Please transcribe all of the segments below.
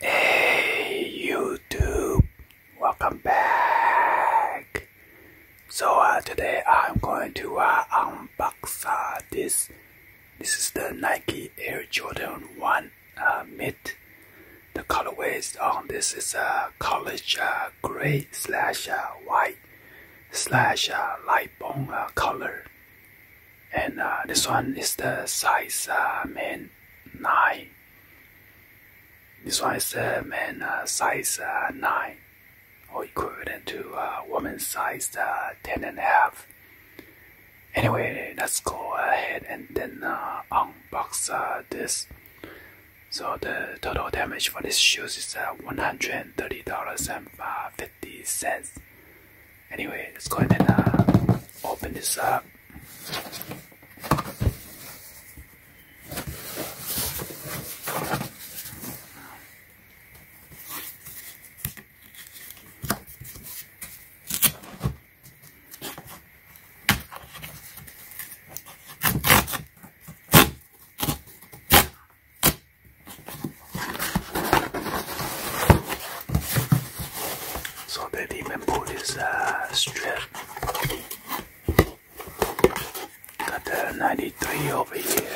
Hey YouTube, welcome back. So uh, today I'm going to uh, unbox uh, this. This is the Nike Air Jordan 1 uh, mid. The colorways on this is a uh, college uh, gray slash uh, white slash uh, light brown color. And this one is the size men 9. This one is the uh, man size 9 or equivalent to a woman's size uh, 10 and a half. Anyway, let's go ahead and then uh, unbox uh, this. So the total damage for these shoes is uh, $130.50. Anyway, let's go ahead and open this up. So baby even pull this uh, strip. Got the 93 over here.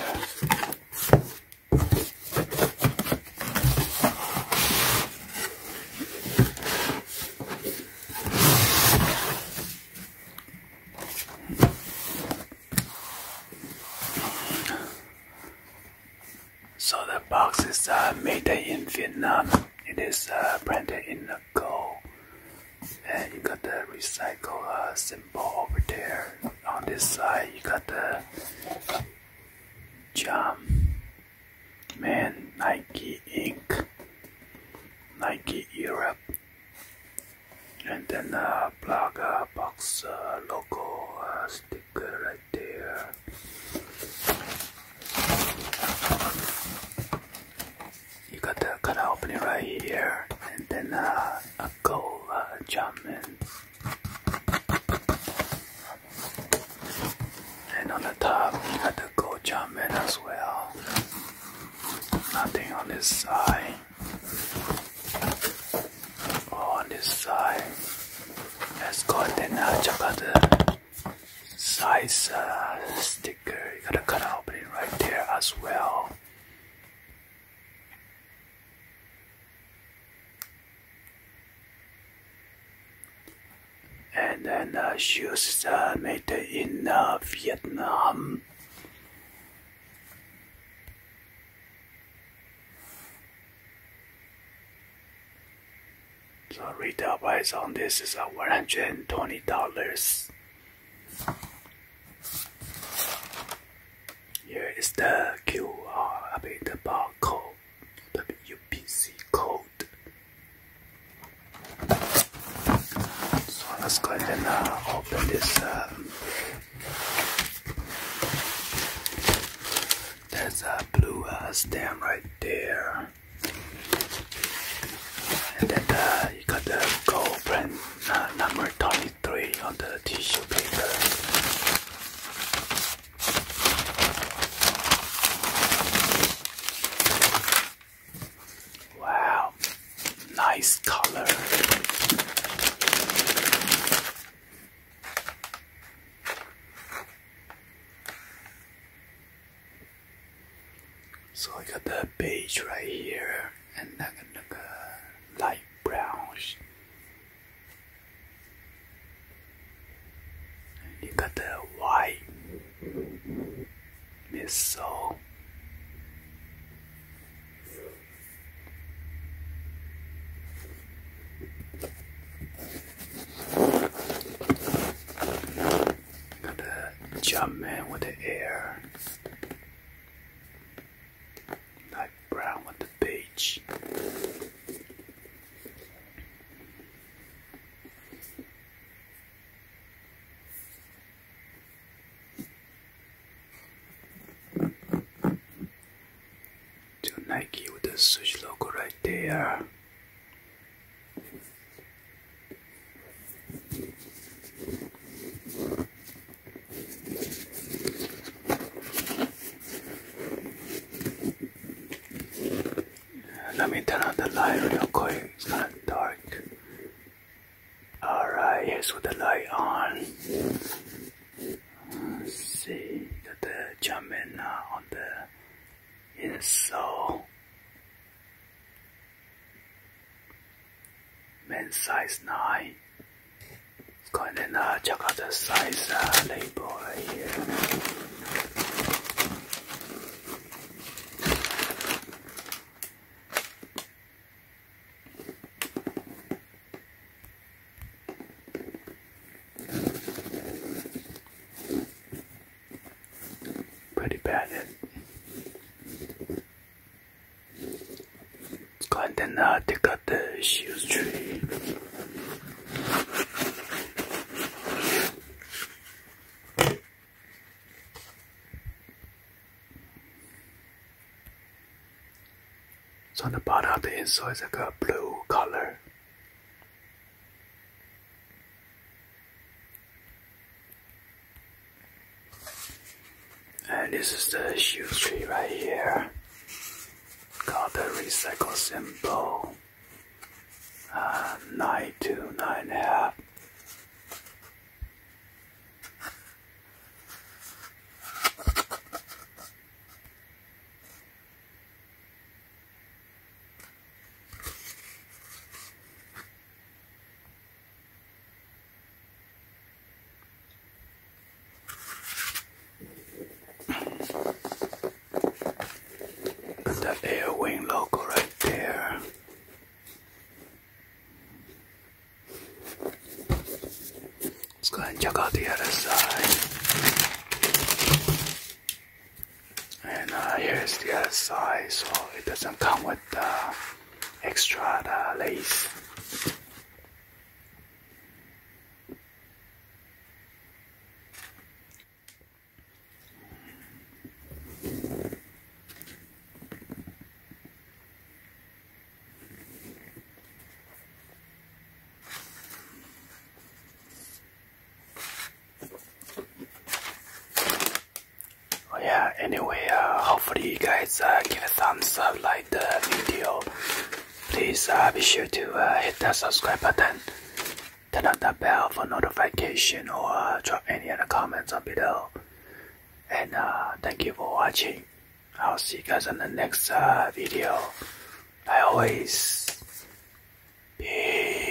So the box is uh, made in Vietnam. It is uh, branded in gold. And you got the recycle uh, symbol over there. On this side, you got the Jam Man Nike Inc. Nike Europe and then a plug uh, box uh, logo sticker right there. You got the of opening right here and then uh, a gold uh, German and on the top, you got the gold jump in as well. Nothing on this side. Oh, on this side. it's got the now check out the size uh, sticker. You got to cut opening right there as well. And then uh, she was uh, made in uh, Vietnam. So retail price on this is $120. Here is the QR, I mean barcode, the UPC code. So let's go and uh, open this. Um, there's a blue uh, stamp right there. And then uh, you got the gold brand number 20 three on the tissue paper. Wow, nice color. So I got the beige right here and then the light brown you got the white missile. Got the jump man with the air. Like brown with the page. To Nike with the switch logo right there. Let me turn on the light real quick. It's kind of dark. Alright, here's with the light on. see that the jumping uh, on the insole men's size 9. And then uh, check out the size label here. Pretty bad. Eh? go ahead and uh, take out the shoes tree. So on the bottom of the insole is like a blue color. And this is the shoe tree right here. Got the recycle symbol. Uh, nine the air wing logo right there. Let's go and check out the other side. And uh, here's the other side, so it doesn't come with the. Uh, extra lace. Oh, yeah, anyway, uh, hopefully you guys uh, give a thumbs up, like the video. Please uh, be sure to uh, hit that subscribe button, turn on that bell for notification, or uh, drop any other comments down below. And uh, thank you for watching. I'll see you guys in the next uh, video. I always peace.